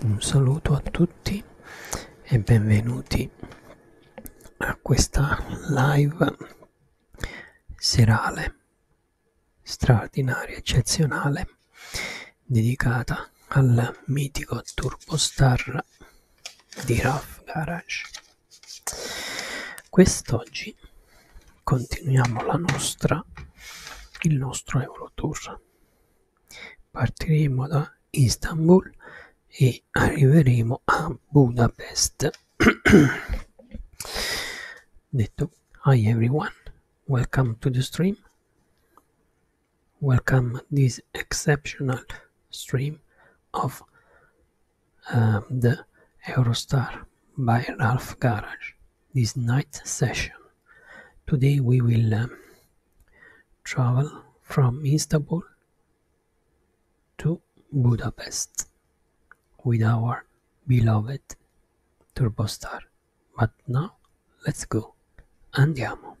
Un saluto a tutti e benvenuti a questa live serale straordinaria, eccezionale dedicata al mitico turbostar di Raf Garage. Quest'oggi continuiamo la nostra, il nostro Eurotour. Partiremo da Istanbul e arriveremo a Budapest. Detto, hi everyone, welcome to the stream. welcome this exceptional stream of um, the Eurostar by Ralph Garage, this night session. Today we will um, travel from Istanbul to Budapest with our beloved Turbostar But now let's go. Andiamo.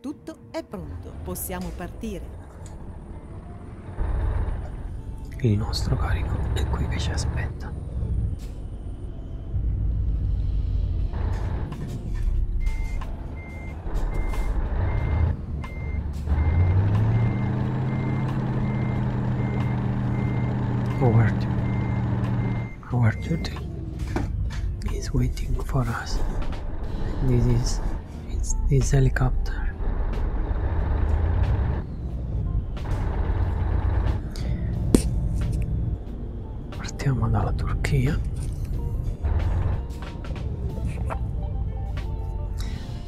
Tutto è pronto, possiamo partire. Il nostro carico è qui che ci aspetta. Howard, Howard Duty is waiting for us. This is it's this helicopter. Partiamo dalla Turchia.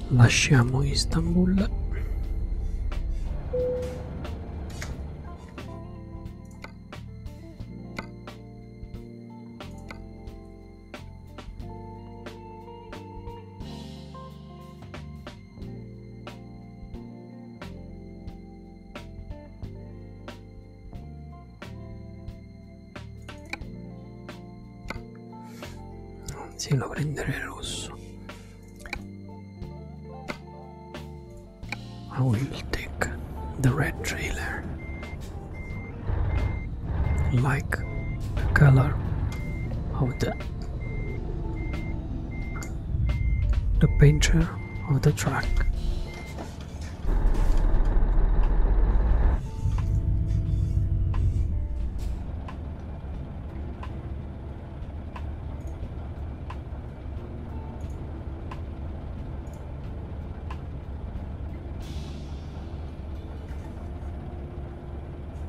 Lasciamo Istanbul. I will take the red trailer. Like the color of the the painter of the track.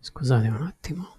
Scusate un attimo.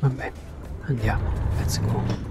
Vabbè, andiamo, let's go.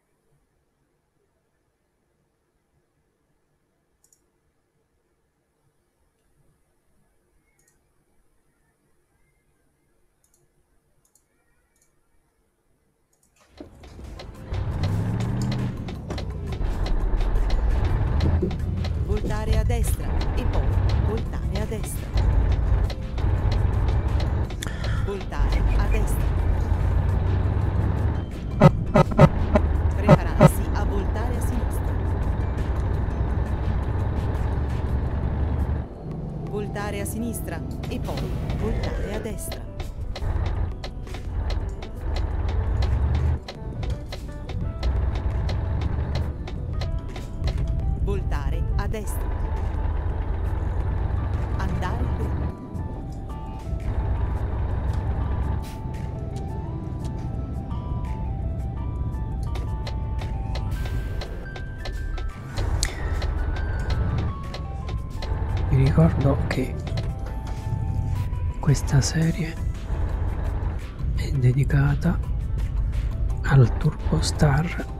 Voltare a destra e poi voltare a destra. Voltare a destra. Prepararsi a voltare a sinistra. Voltare a sinistra e poi voltare a destra. Voltare a destra. Andare dritto. Vi ricordo che questa serie è dedicata al Turbo Star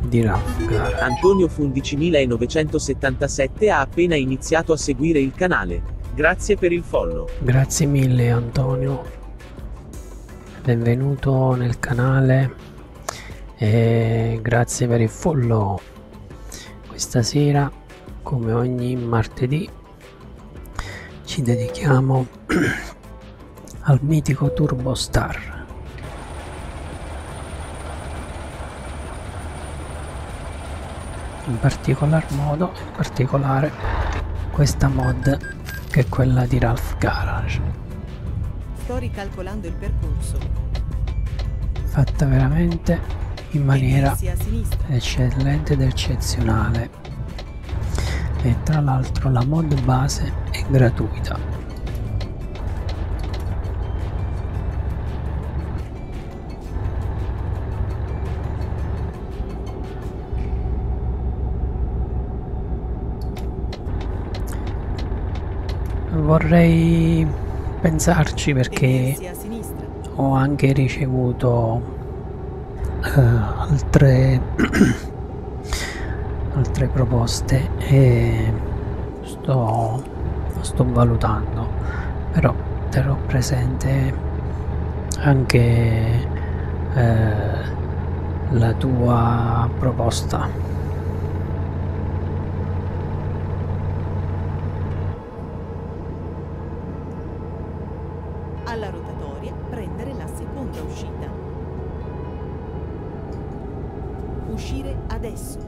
di Rafgar. Antonio Fundici 1977 ha appena iniziato a seguire il canale. Grazie per il follow. Grazie mille Antonio. Benvenuto nel canale e grazie per il follow. Questa sera, come ogni martedì, ci dedichiamo al mitico Turbo Star in particolar modo in particolare questa mod che è quella di Ralph Garage sto ricalcolando il percorso fatta veramente in maniera eccellente ed eccezionale e tra l'altro la mod base è gratuita Vorrei pensarci perché ho anche ricevuto uh, altre, altre proposte e sto, sto valutando però terrò presente anche eh, la tua proposta alla rotatoria prendere la seconda uscita uscire adesso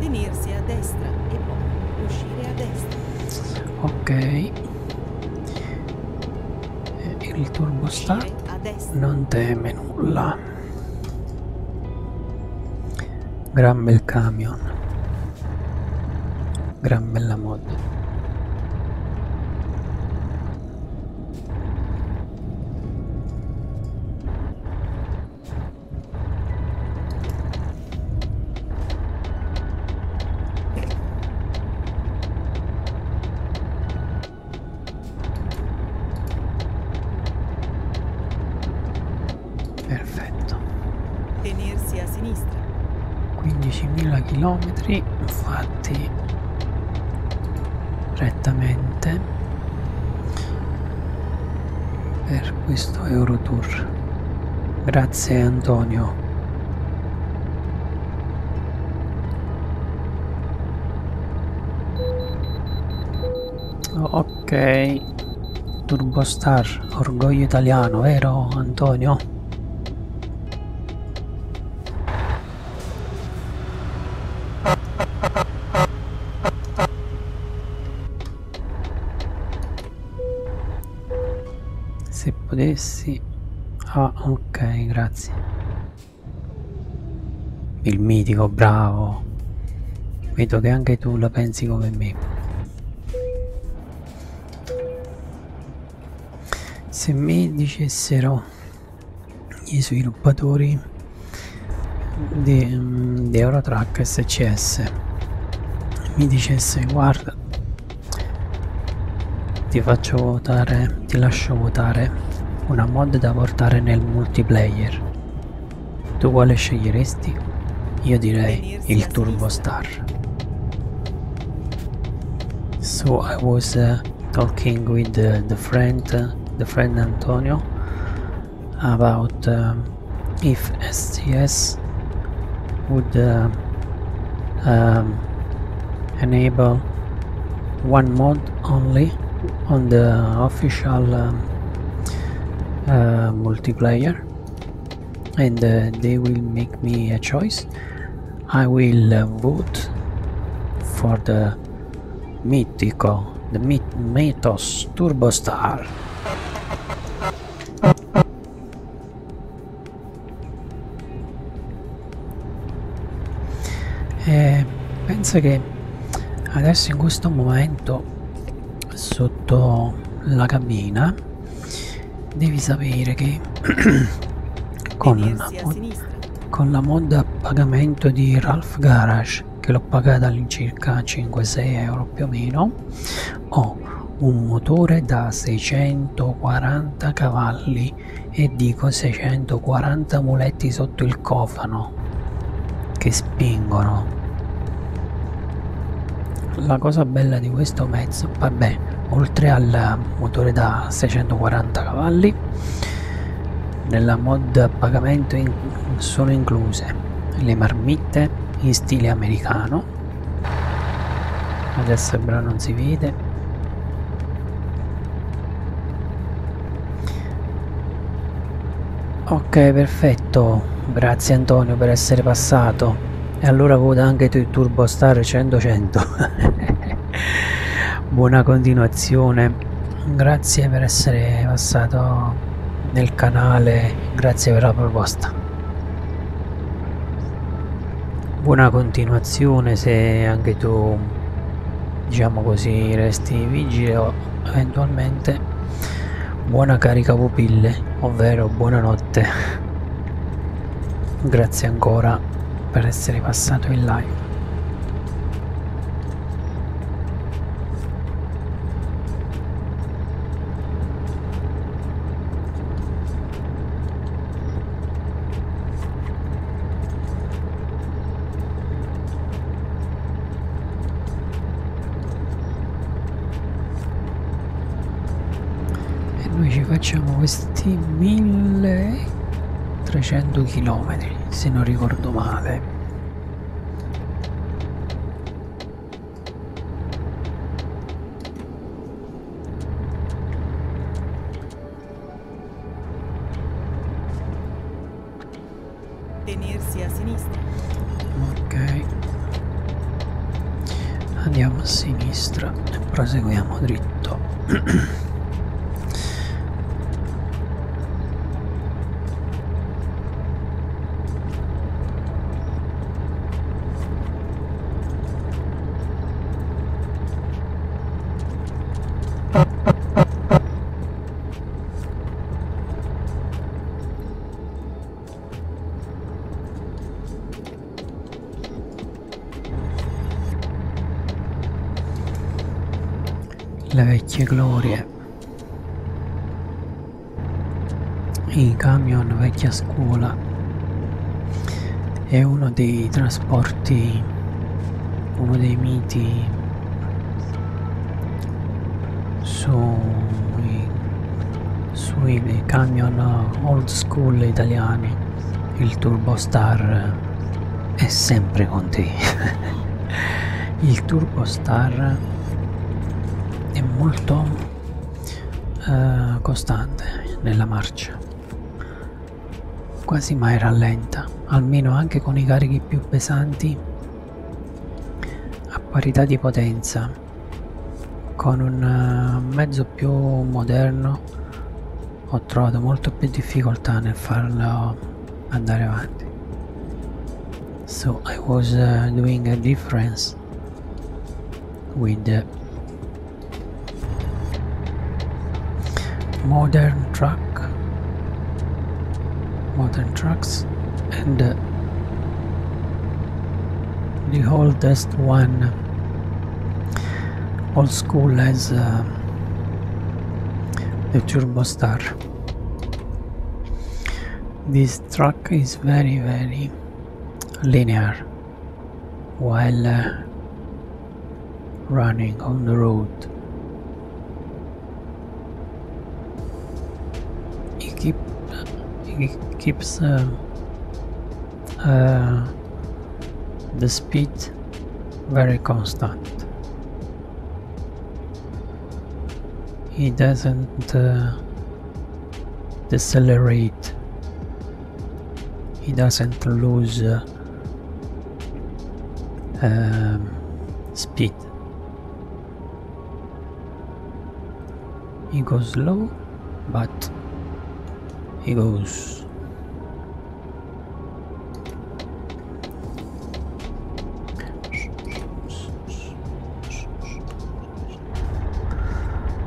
Tenersi a destra e poi uscire a destra. Ok. Eh, il turbo sta non teme nulla. Gran bel camion. Gran bella mod. Perfetto. Tenersi a sinistra. 15.000 km fatti rettamente per questo Eurotour. Grazie Antonio. Ok, Turbostar, orgoglio italiano, vero Antonio? se potessi ah ok grazie il mitico bravo vedo che anche tu la pensi come me se mi dicessero i sviluppatori di, di Eurotrack SCS mi dicesse guarda ti faccio votare ti lascio votare una mod da portare nel multiplayer tu quale sceglieresti? io direi il Turbo Star so I was uh, talking with uh, the friend uh, the friend Antonio about um, if STS would uh, um, enable one mod only on the official um, uh, multiplayer and uh, they will make me a choice I will vote for the mythical Turbo, The Mythos Turbo Star. E eh, penso che adesso in questo momento sotto la cabina devi sapere che con, la, con la mod a pagamento di Ralph Garage che l'ho pagata all'incirca 5-6 euro più o meno ho un motore da 640 cavalli e dico 640 muletti sotto il cofano che spingono la cosa bella di questo mezzo vabbè oltre al motore da 640 cavalli nella mod a pagamento in sono incluse le marmitte in stile americano adesso però non si vede ok perfetto grazie Antonio per essere passato e allora vota anche tu Turbo Star 100 100 buona continuazione grazie per essere passato nel canale, grazie per la proposta. Buona continuazione se anche tu, diciamo così, resti vigile o eventualmente buona carica pupille, ovvero buonanotte. Grazie ancora per essere passato in live e noi ci facciamo questi 1300 km se non ricordo male Tenersi a sinistra. Ok. Andiamo a sinistra e proseguiamo dritto. le vecchie glorie i camion vecchia scuola è uno dei trasporti, uno dei miti sui, sui camion old school italiani. Il Turbostar è sempre con te. Il Turbostar è molto eh, costante nella marcia quasi mai rallenta almeno anche con i carichi più pesanti a parità di potenza con un eh, mezzo più moderno ho trovato molto più difficoltà nel farlo andare avanti so I was uh, doing a difference with the modern truck modern trucks and uh, the oldest one old school has uh, the turbo star this truck is very very linear while uh, running on the road. he keep, it keeps um, uh, the speed very constant. He doesn't uh, decelerate he doesn't lose uh, um, speed he goes slow, but he goes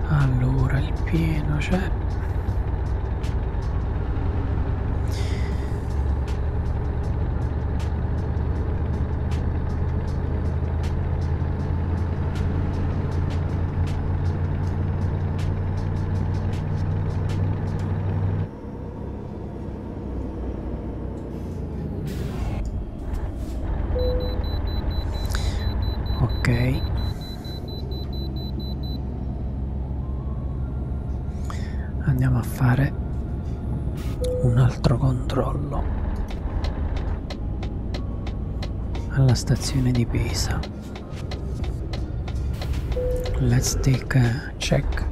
allora il pieno c'è cioè ok andiamo a fare un altro controllo alla stazione di Pisa let's take a check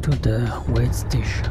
to the wait station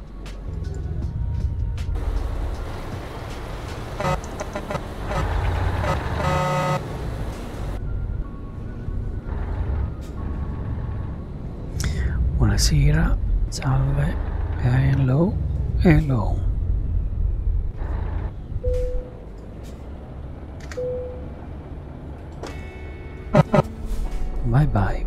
Buonasera, salve, hello, hello. Bye bye.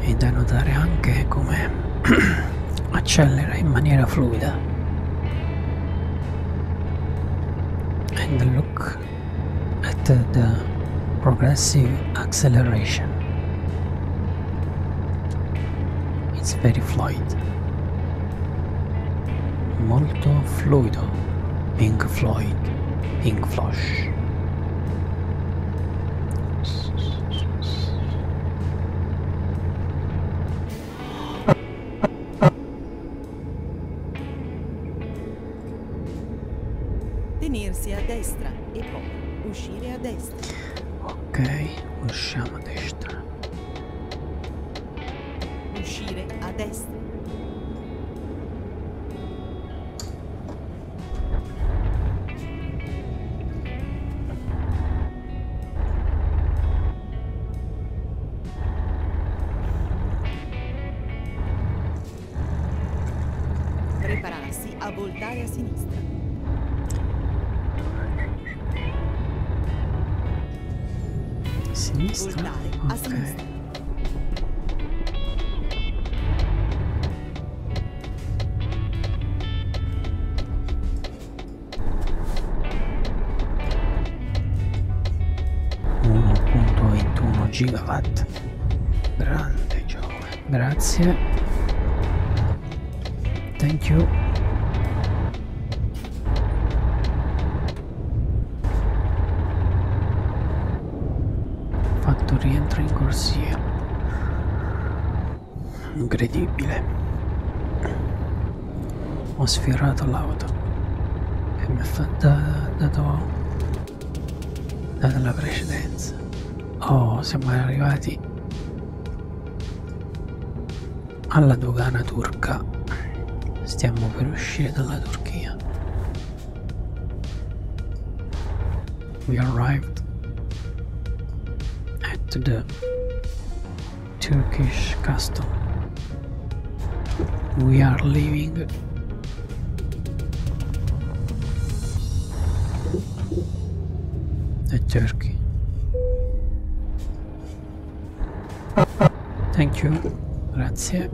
è da notare anche come accelera in maniera fluida and look at the progressive acceleration it's very fluid molto fluido Pink Floyd Pink Flosh Tenersi a destra e poi uscire a destra. Ok, usciamo a destra. Uscire a destra. Prepararsi a voltare a sinistra. Sinistra? Voltare okay. a sinistra. 1.21 gigawatt grande Giove grazie thank you fatto il rientro in corsia. Incredibile. Ho sferrato l'auto e mi ha fatta dato, dato la precedenza. Oh, siamo arrivati alla dogana turca. Stiamo per uscire dalla Turchia. we arrived at the Turkish castle. We are leaving the turkey. Thank you, grazie.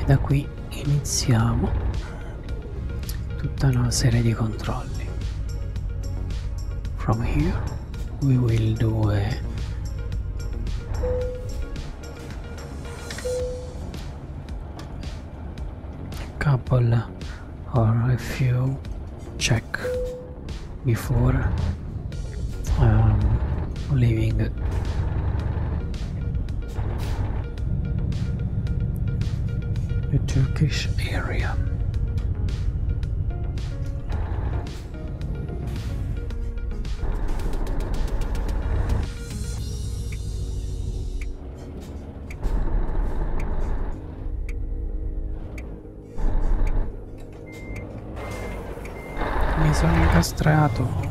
e da qui iniziamo tutta una serie di controlli from here we will do a couple or a few check before um, leaving the Turkish area. Mi sono incastrato.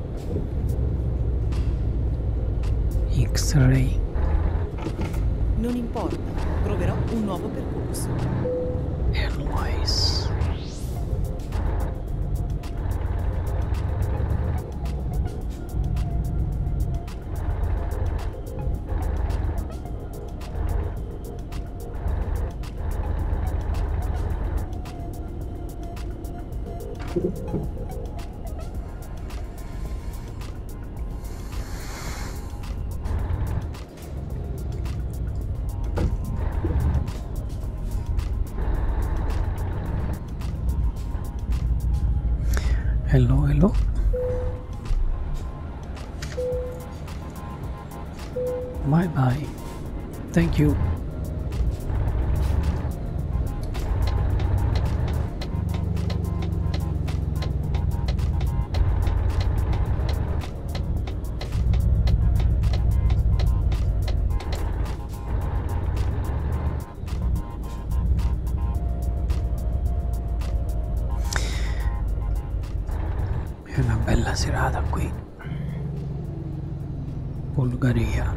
X-ray. Non importa, troverò un nuovo percorso. Airways. É hello hello bye bye thank you È una bella serata qui. Bulgaria.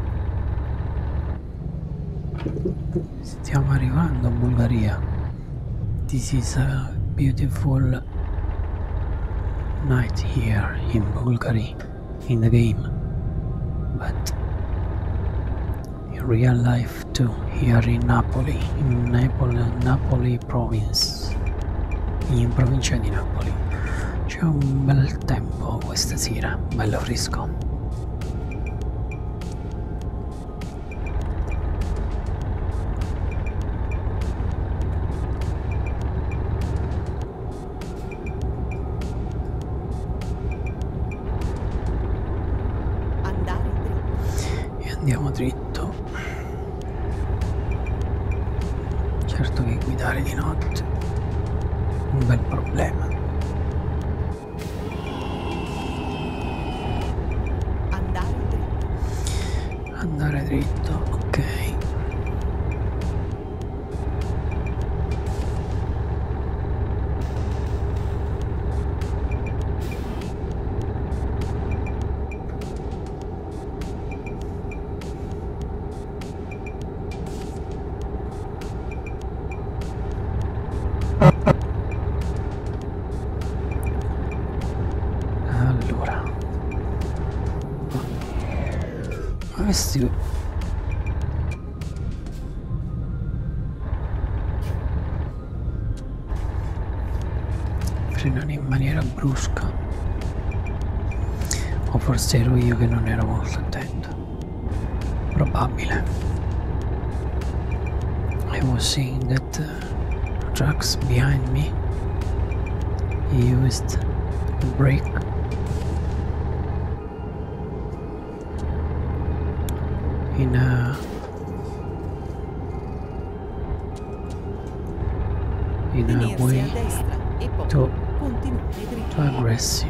Stiamo arrivando in Bulgaria. This is a beautiful night here in Bulgaria in the game. But in real life too, here in Napoli, in Napoli, Napoli province, in provincia di Napoli. C'è un bel tempo questa sera, bello fresco e andiamo dritto certo che guidare di notte è un bel problema Andare dritto. Andare dritto, ok. Allora. Ma questi... Frenano in maniera brusca. O forse ero io che non ero molto attento. Probable. I was seeing that trucks behind me used the brake. Uh, in a in a way too aggressive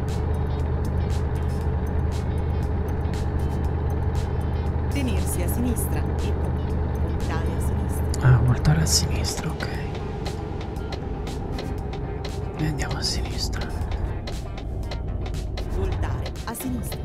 Tenersi a sinistra e voltare a sinistra. Ah, voltare a sinistra, ok. E andiamo a sinistra. Voltare a sinistra.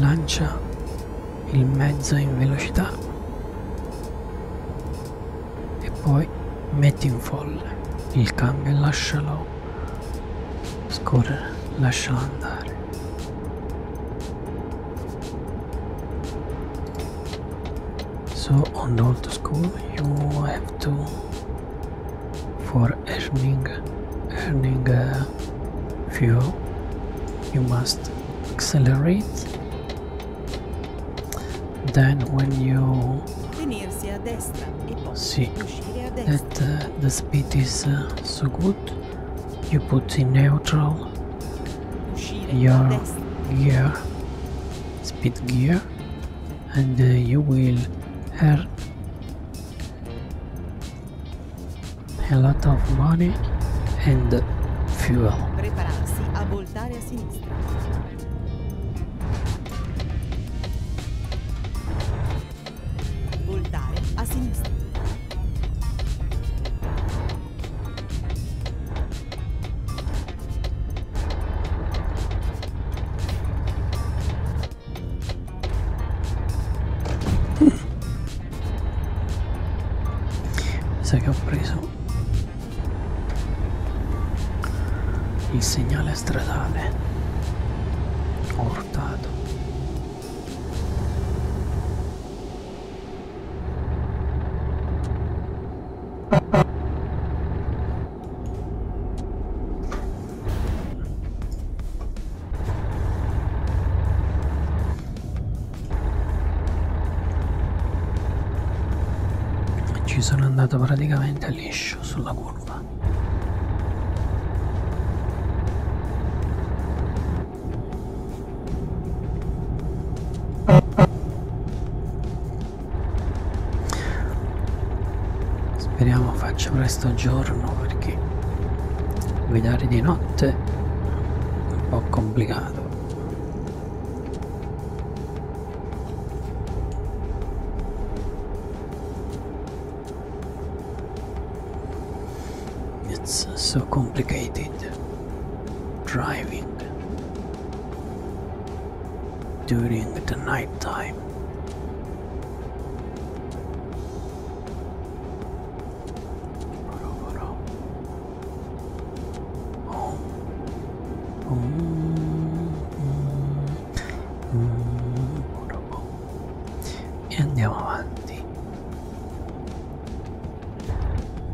lancia il mezzo in velocità e poi metti in folle il cambio e lascialo scorrere, lascialo andare. So on the old school you have to for earning earning uh, fuel you must accelerate then when you see that uh, the speed is uh, so good you put in neutral your gear speed gear and you will earn a lot of money and fuel. Prepararsi a voltare a sinistra. Voltare a sinistra. Mi sa che ho preso il segnale stradale. Ho urtato. Ci sono andato praticamente liscio sulla curva. Speriamo faccia presto giorno perché guidare di notte è un po' complicato it's so complicated driving during the night time e andiamo avanti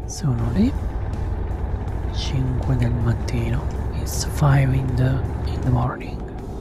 sono lì 5 del mattino it's 5 in the, in the morning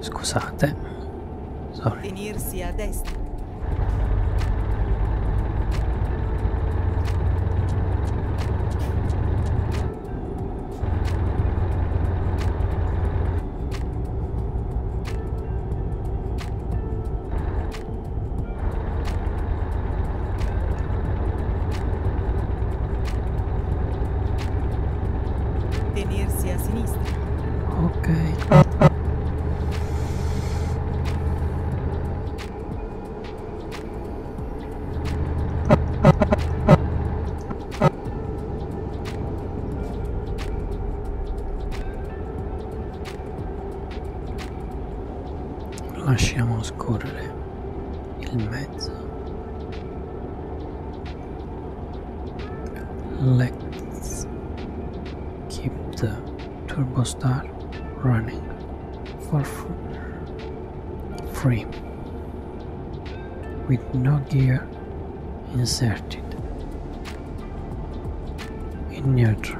Scusate. Sorry. Venirsi a destra. Tenersi a sinistra. Ok. Let's keep the turbostar running for free with no gear inserted in neutral.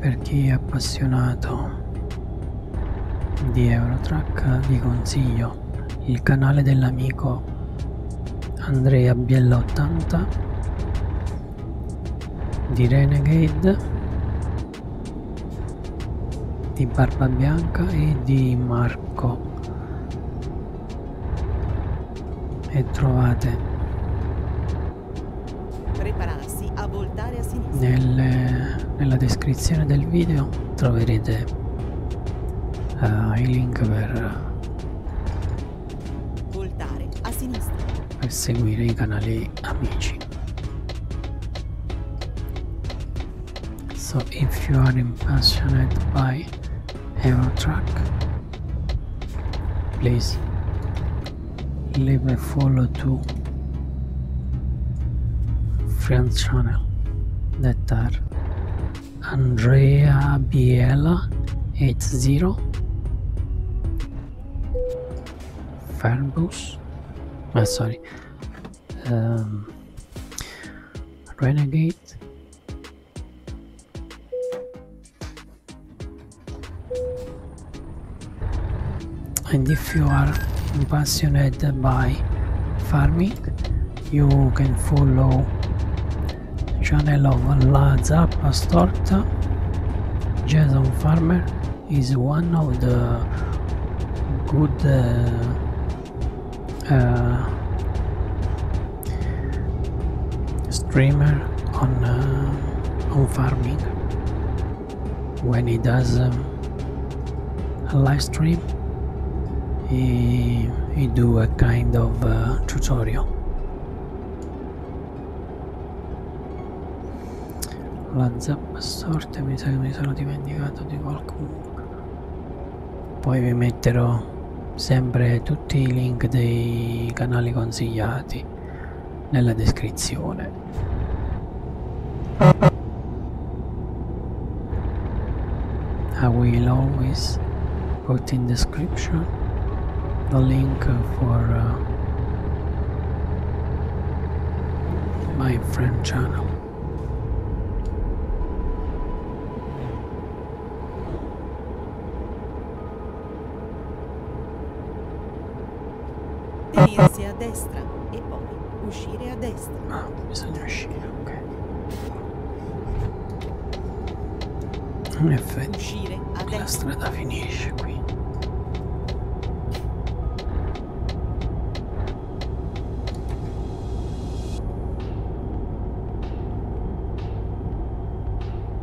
Per chi è appassionato di Eurotrack vi consiglio il canale dell'amico Andrea Biella 80 di Renegade di Barba Bianca e di Marco e trovate Prepararsi a voltare a sinistra. Nelle, nella descrizione del video troverete uh, eh, i link per voltare a sinistra. Per seguire i canali amici. So if you are impassionate by Eurotrack Please. Leave a follow to friends channel that are Andrea Biela 80 Fairbus oh, ah, sorry um, Renegade and if you are passionate by farming you can follow channel of Lazza Storta Jason Farmer is one of the good uh, uh, streamer on uh, on farming when he does um, a live stream he, he do a kind of uh, tutorial la zappa sorte mi sa che mi sono dimenticato di qualcuno poi vi metterò sempre tutti i link dei canali consigliati link nella descrizione. I will always put in description the link for uh, my friend channel. Venirsi a destra e poi uscire a destra. Ah, bisogna uscire, ok. In effetti, uscire a la destra. strada finisce qui.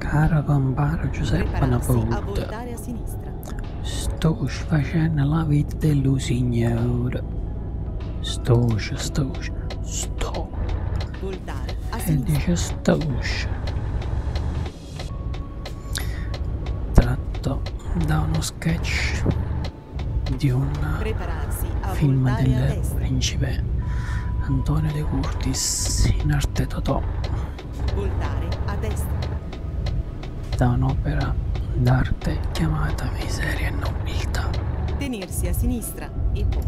Caravan bar Giuseppe Napolta. Sto facendo la vita dello signore. Sto, sto, sto. E dice sto. Tratto da uno sketch di un film del principe Antonio De Curtis in arte Totò da un'opera d'arte chiamata Miseria e Nobiltà tenersi a sinistra e poi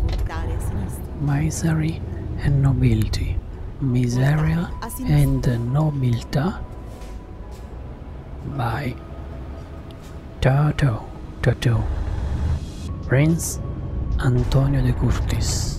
voltare a sinistra Misery and Nobility Miseria and Nobiltà by Tato Tato Prince Antonio de Curtis.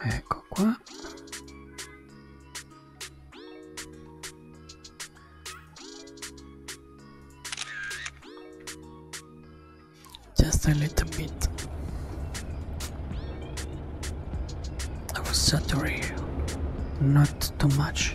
Ecco qua. Just a little bit. I will was you. not too much.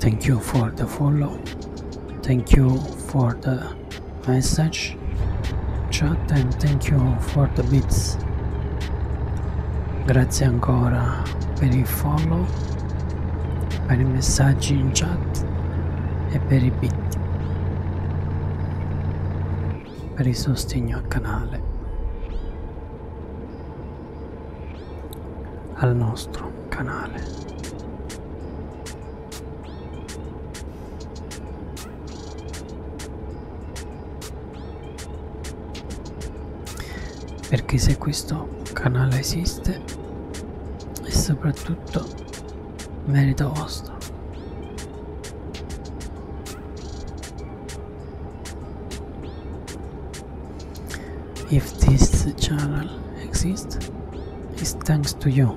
Thank you for the follow. Thank you for the message chat and thank you for the bits. Grazie ancora per il follow, per i messaggi in chat e per i bit. Per il sostegno al canale. Al nostro canale perché se questo canale esiste è soprattutto merito vostro if this channel exists is thanks to you.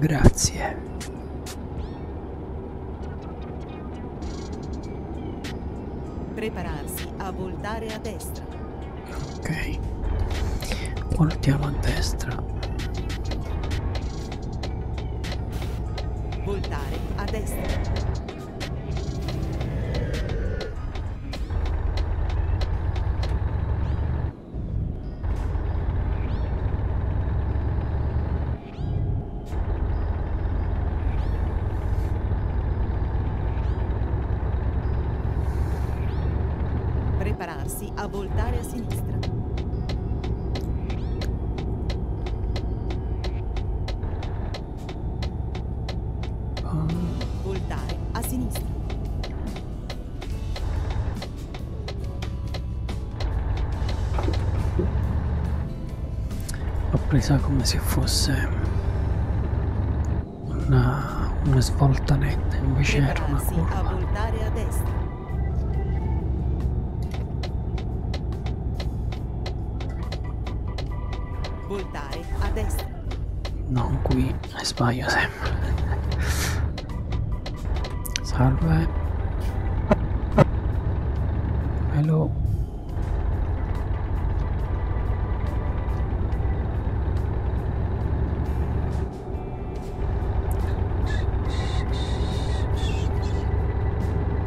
Grazie. Prepararsi a voltare a destra. Ok. Voltiamo a destra. Voltare a destra prepararsi a voltare a sinistra. Voltare a sinistra. L'ho presa come se fosse una, una svolta netta, invece era una curva. voltare a destra. Voltare a destra. Non qui, sbaglio sempre. Salve. Hello.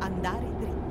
Andare dritto.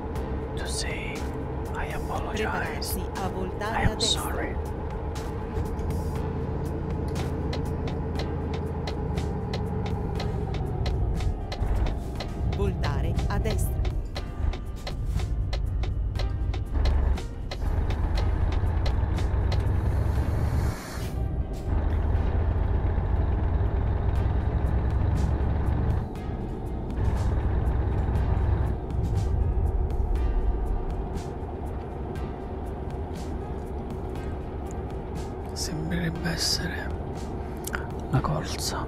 to say I apologize. I am sorry. Voltare a destra. Sembrerebbe essere la corsa.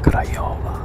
Craiova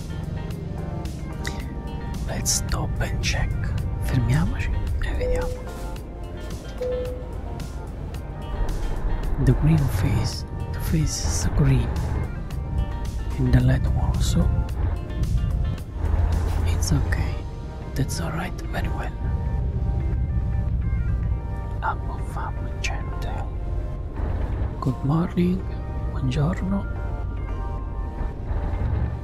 Let's stop and check. Fermiamoci e vediamo. The green face. The face is green. In the light also. It's okay. That's alright, very well. Abbuffamo gente. Good morning, buongiorno.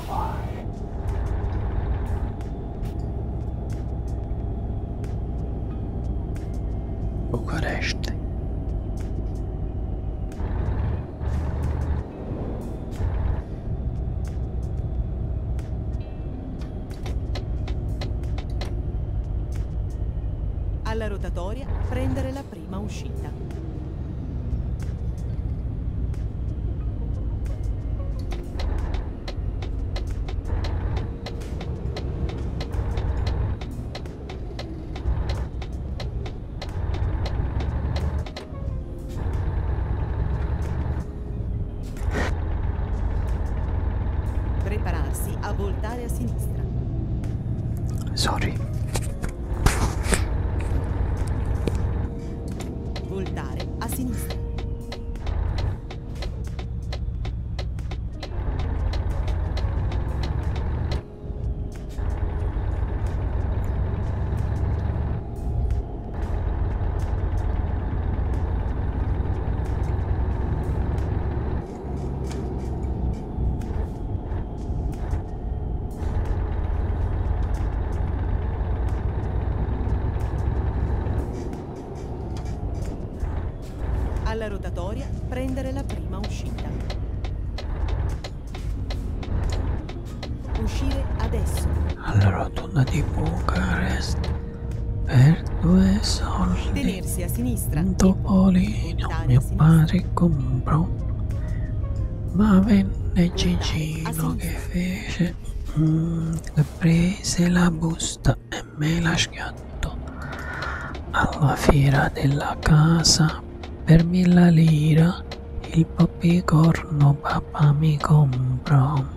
go by. Bucaresti. Alla rotatoria prendere la prima uscita. Prepararsi a voltare a sinistra. Sorry. Voltare a sinistra. Alla rotatoria prendere la prima uscita. Uscire adesso. Alla rotonda di Bucarest per due soldi. Tenersi a sinistra. Un topolino. Mio padre comprò ma venne Gigino che fece mm, che prese la busta e me la schiattò alla fiera della casa per mille lira il popicorno papà mi comprò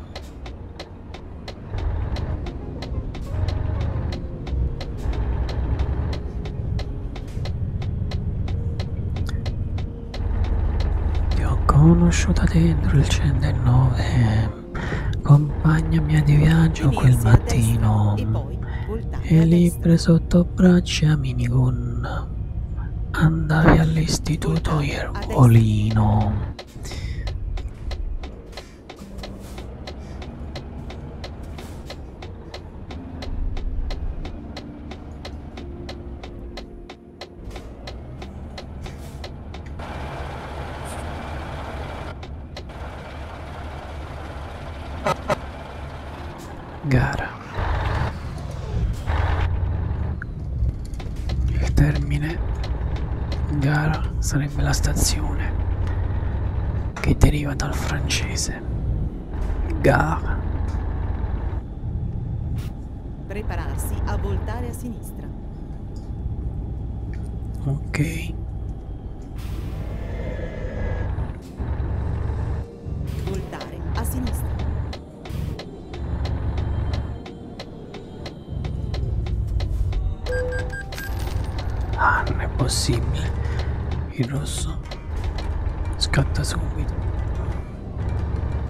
ti ho conosciuta dentro il 109, compagna mia di viaggio quel mattino, e libbre sotto braccia minigun. Andavi all'istituto Iervolino. Gara. Il termine gara sarebbe la stazione che deriva dal francese. Gare. Prepararsi a voltare a sinistra. Ok. Voltare a sinistra. Ah, non è possibile. Il rosso scatta subito.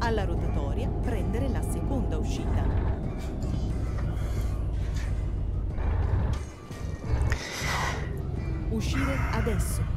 Alla rotatoria prendere la seconda uscita. Uscire adesso.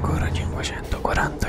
ancora 540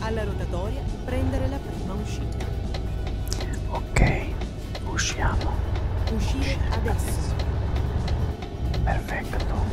Alla rotatoria prendere la prima uscita. Ok, usciamo. Uscire, Uscire adesso. Perfetto.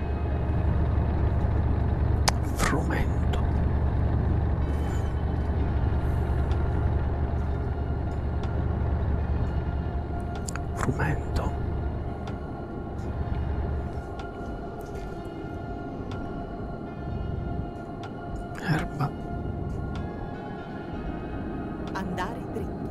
frumento. Frumento. Erba. Andare dritto.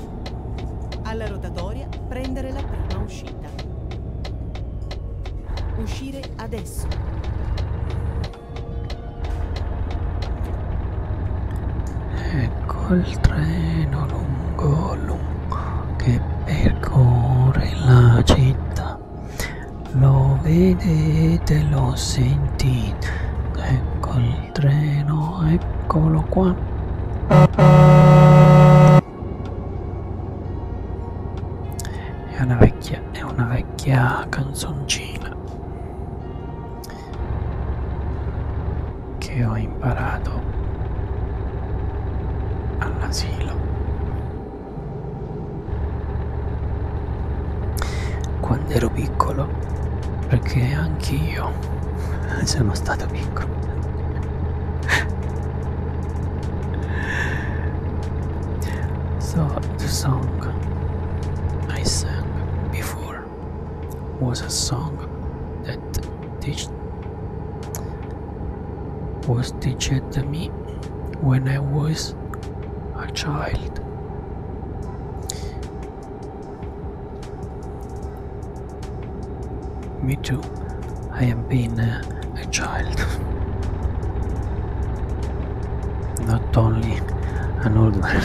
Alla rotatoria prendere la prima uscita. Uscire adesso. Ecco il treno lungo lungo che percorre la città. Lo vedete, lo sentite. Ecco il treno no eccolo qua è una vecchia è una vecchia canzoncina che ho imparato all'asilo quando ero piccolo perché anch'io Sono stato piccolo. So the song I sang before was a song that was taught to me when I was a child. Me too. I am being a child. Not only an old man.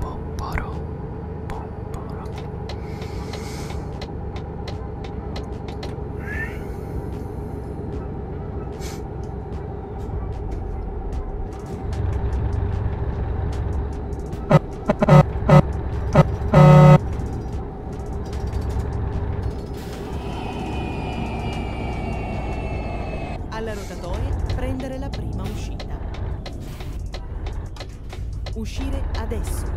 Poporo, Alla rotatoria prendere la prima uscita. Uscire adesso.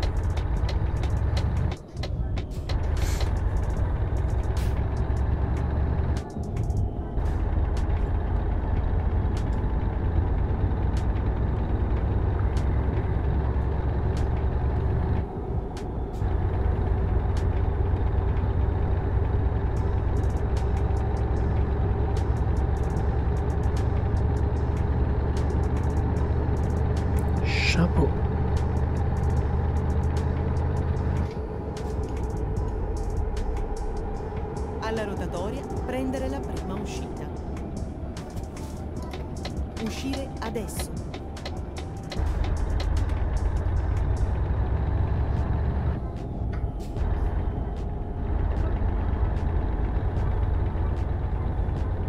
Chapeau. Alla rotatoria prendere la prima uscita. Uscire adesso.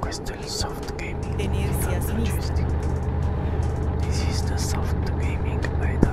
Questo soft gaming This is the soft gaming by Dub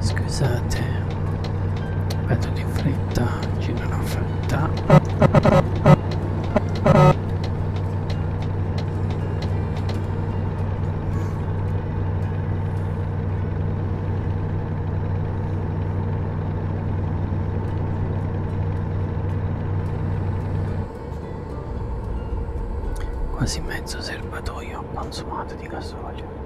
Scusate, vado di fretta, giro la fretta quasi mezzo serbatoio consumato di gasolio.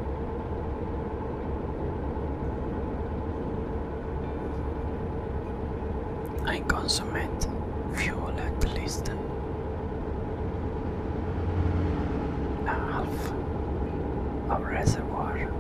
I consummate fuel at least a half of reservoir.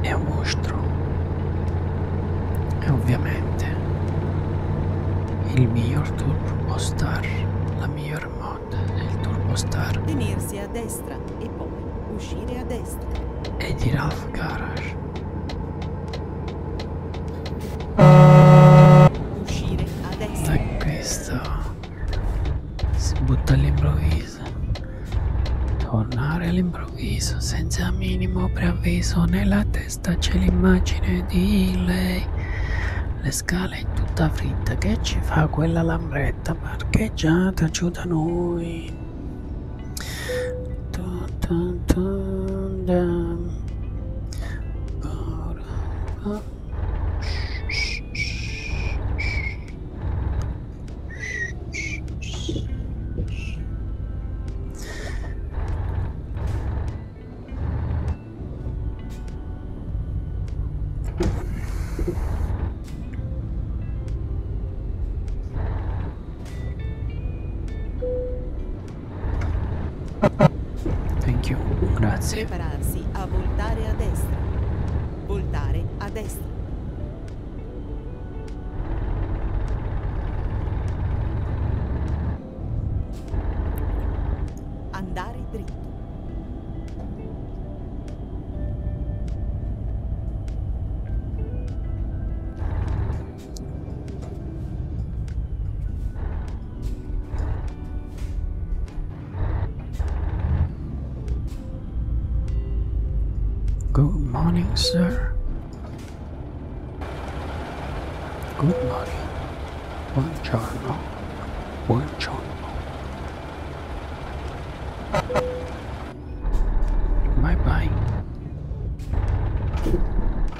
è un mostro e ovviamente il miglior turbo star la miglior mod del turbo star tenersi a destra e poi uscire a destra è di Ralph Garage uscire a destra da questo si butta all'improvviso improvviso. Tornare all'improvviso, senza minimo preavviso, nella testa c'è l'immagine di lei. Le scale in tutta fritta, che ci fa quella lambretta parcheggiata giù da noi? Dun dun dun dun. Thank you, grazie. Prepararsi a voltare a destra. Voltare a destra. Andare dritto. Good morning, sir. Good morning. One channel. Bye bye.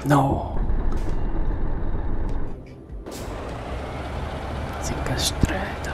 No. Zincastreta.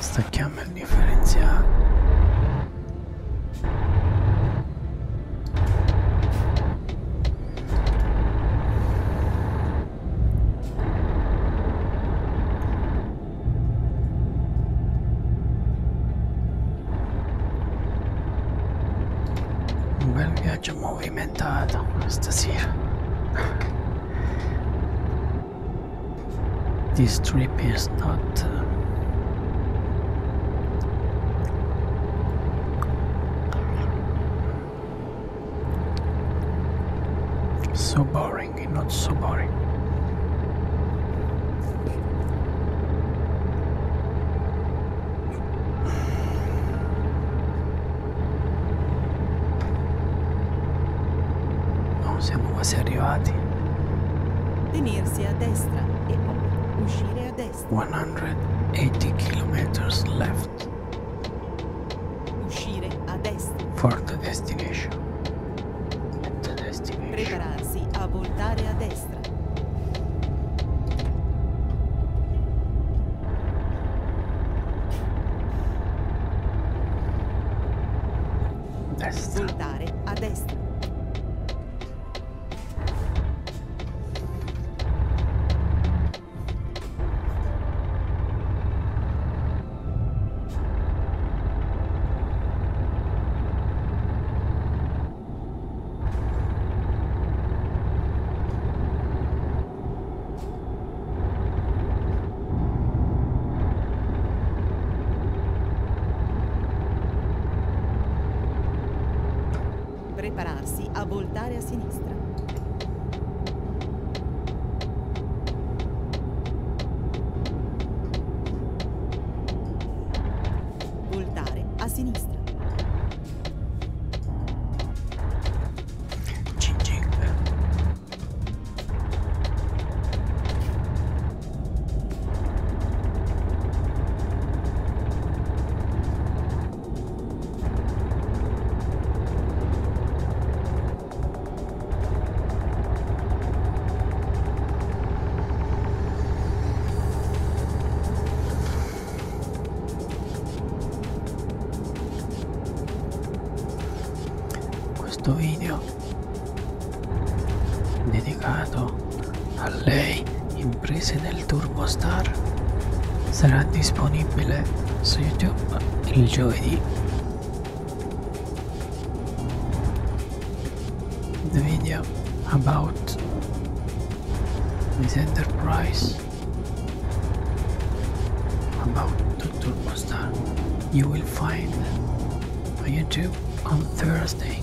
Stacchiamo il differenziale. Un bel viaggio movimentato stasera. This trip is not uh, so boring and not so boring. Non siamo quasi arrivati. 180 kilometers left. Uscire a destra. For the destination. The destination. Prepararsi a voltare a destra. Destra. Voltare a destra voltare a sinistra. Voltare a sinistra. Cin cin questo video dedicato a lei imprese del turbostar sarà disponibile su youtube il giovedì the video about this enterprise about the Turbosta you will find on YouTube on Thursday.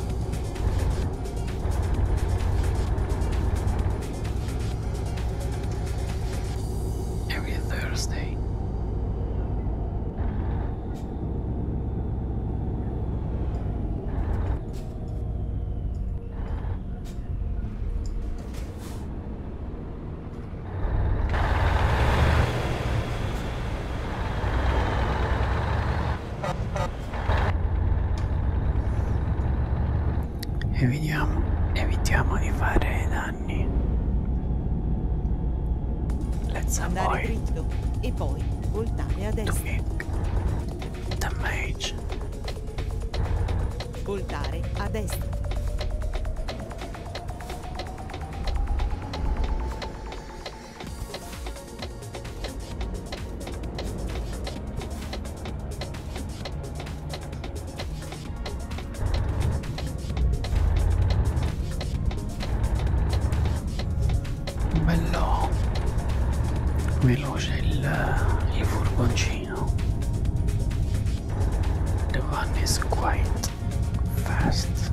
every Thursday. E vediamo, evitiamo di fare danni anni. Let's Andare dritto e poi voltare a destra. Damage. Voltare a destra bello veloce il, il furgoncino the one is quite fast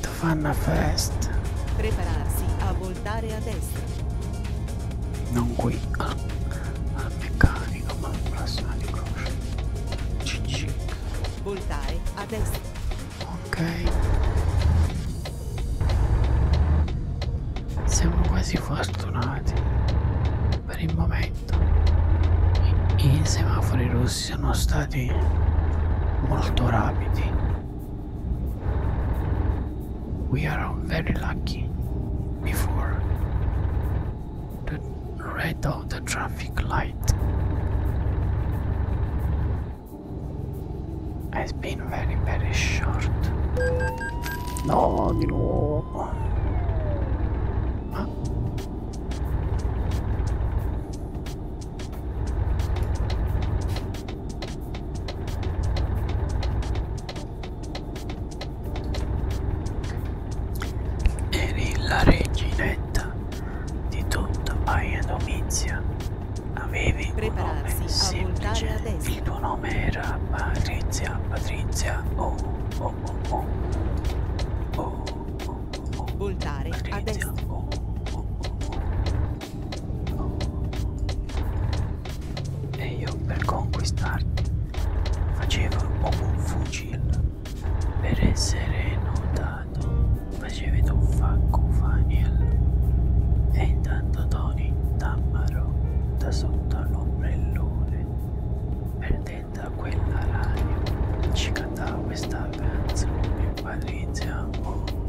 the one fast prepararsi a volare voltare a destra. Non qui al, al meccanico, ma al prossimo di croce. Cicci. Voltare a destra. Ok. Siamo quasi fortunati. Per il momento. I, i semafori rossi sono stati molto rapidi we are very lucky before the red of the traffic light has been very very short no di nuovo Eri la reginetta di tutta Baia Domizia. Avevi Prepararsi un nome semplice. Il tuo nome era Patrizia, Patrizia, oh, oh, oh, oh. oh, oh, oh Voltare Patrizia, a destra. Oh, oh, oh, oh. Oh e io per conquistarti facevo un fucile per essere notato facevi tu faccufaniel e intanto Tony t'ammarò da sotto l'ombrellone perdendo quella radio ci cantava questa canzone Patrizia oh, oh, oh.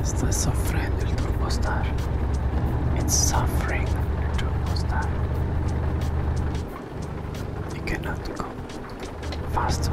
It's suffering, sufriendo el turbostar. It's suffering the turbostar. You cannot go faster.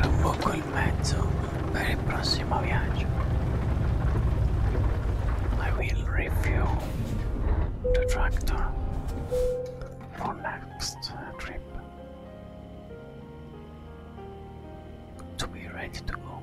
Rubocco il mezzo per il I will refuel the tractor for next trip. To be ready to go.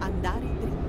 Andare dritto.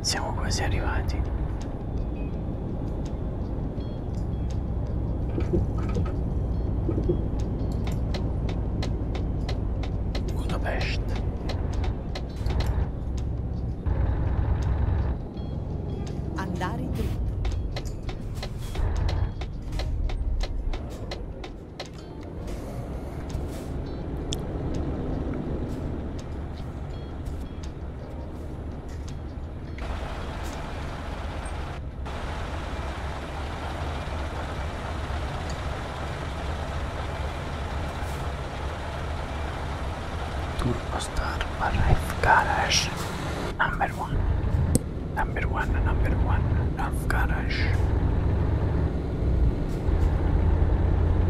Siamo quasi arrivati. Budapest. Andare dritto. Turbostar Arrive Garage number one number one number one Arrive Garage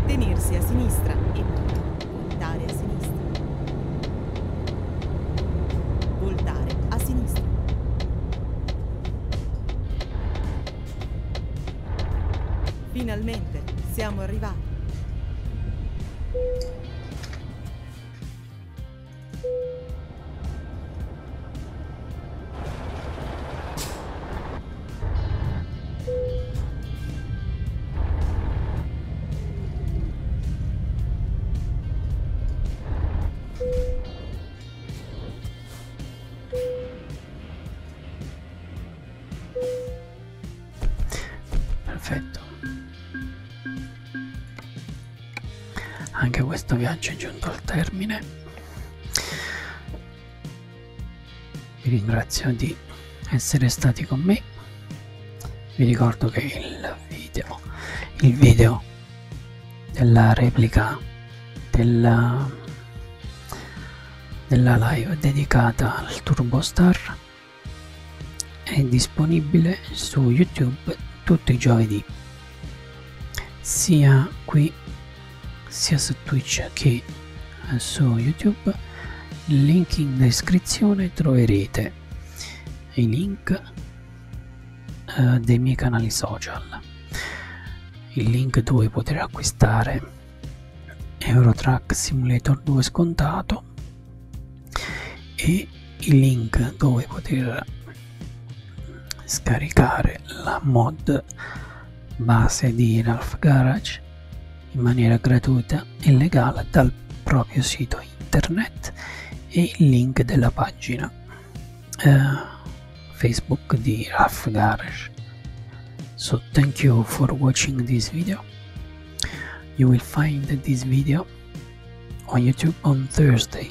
Tenersi a sinistra e Voltare a sinistra. Voltare a sinistra. Finalmente siamo arrivati. Perfetto. Anche questo viaggio è giunto al termine. Vi ringrazio di di essere stati con me vi ricordo che il video il video della replica della, della live dedicata al turbo star è disponibile su youtube tutti i giovedì sia qui sia su twitch che su youtube link in descrizione troverete i link eh, dei miei canali social il link dove poter acquistare Eurotrack Simulator 2 scontato e il link dove poter scaricare la mod base di Ralph Garage in maniera gratuita e legale dal proprio sito internet e il link della pagina uh, Facebook di Raf Garage. So thank you for watching this video. You will find this video on YouTube on Thursday.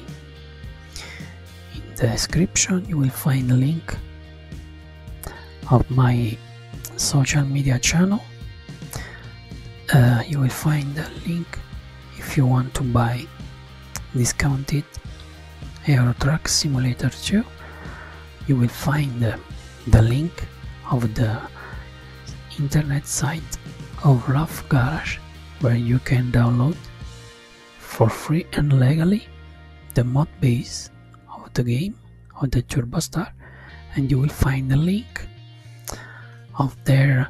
In the description you will find a link of my social media channel Uh, you will find the link if you want to buy discounted Euro Truck Simulator 2 you will find the, link of the internet site of Rough Garage where you can download for free and legally the mod base of the game of the Turbostar and you will find the link of their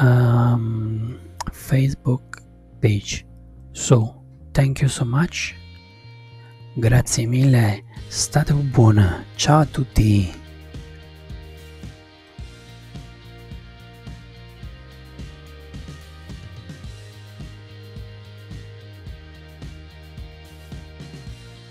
um, Facebook page. So, thank you so much. Grazie mille, state buona, ciao a tutti.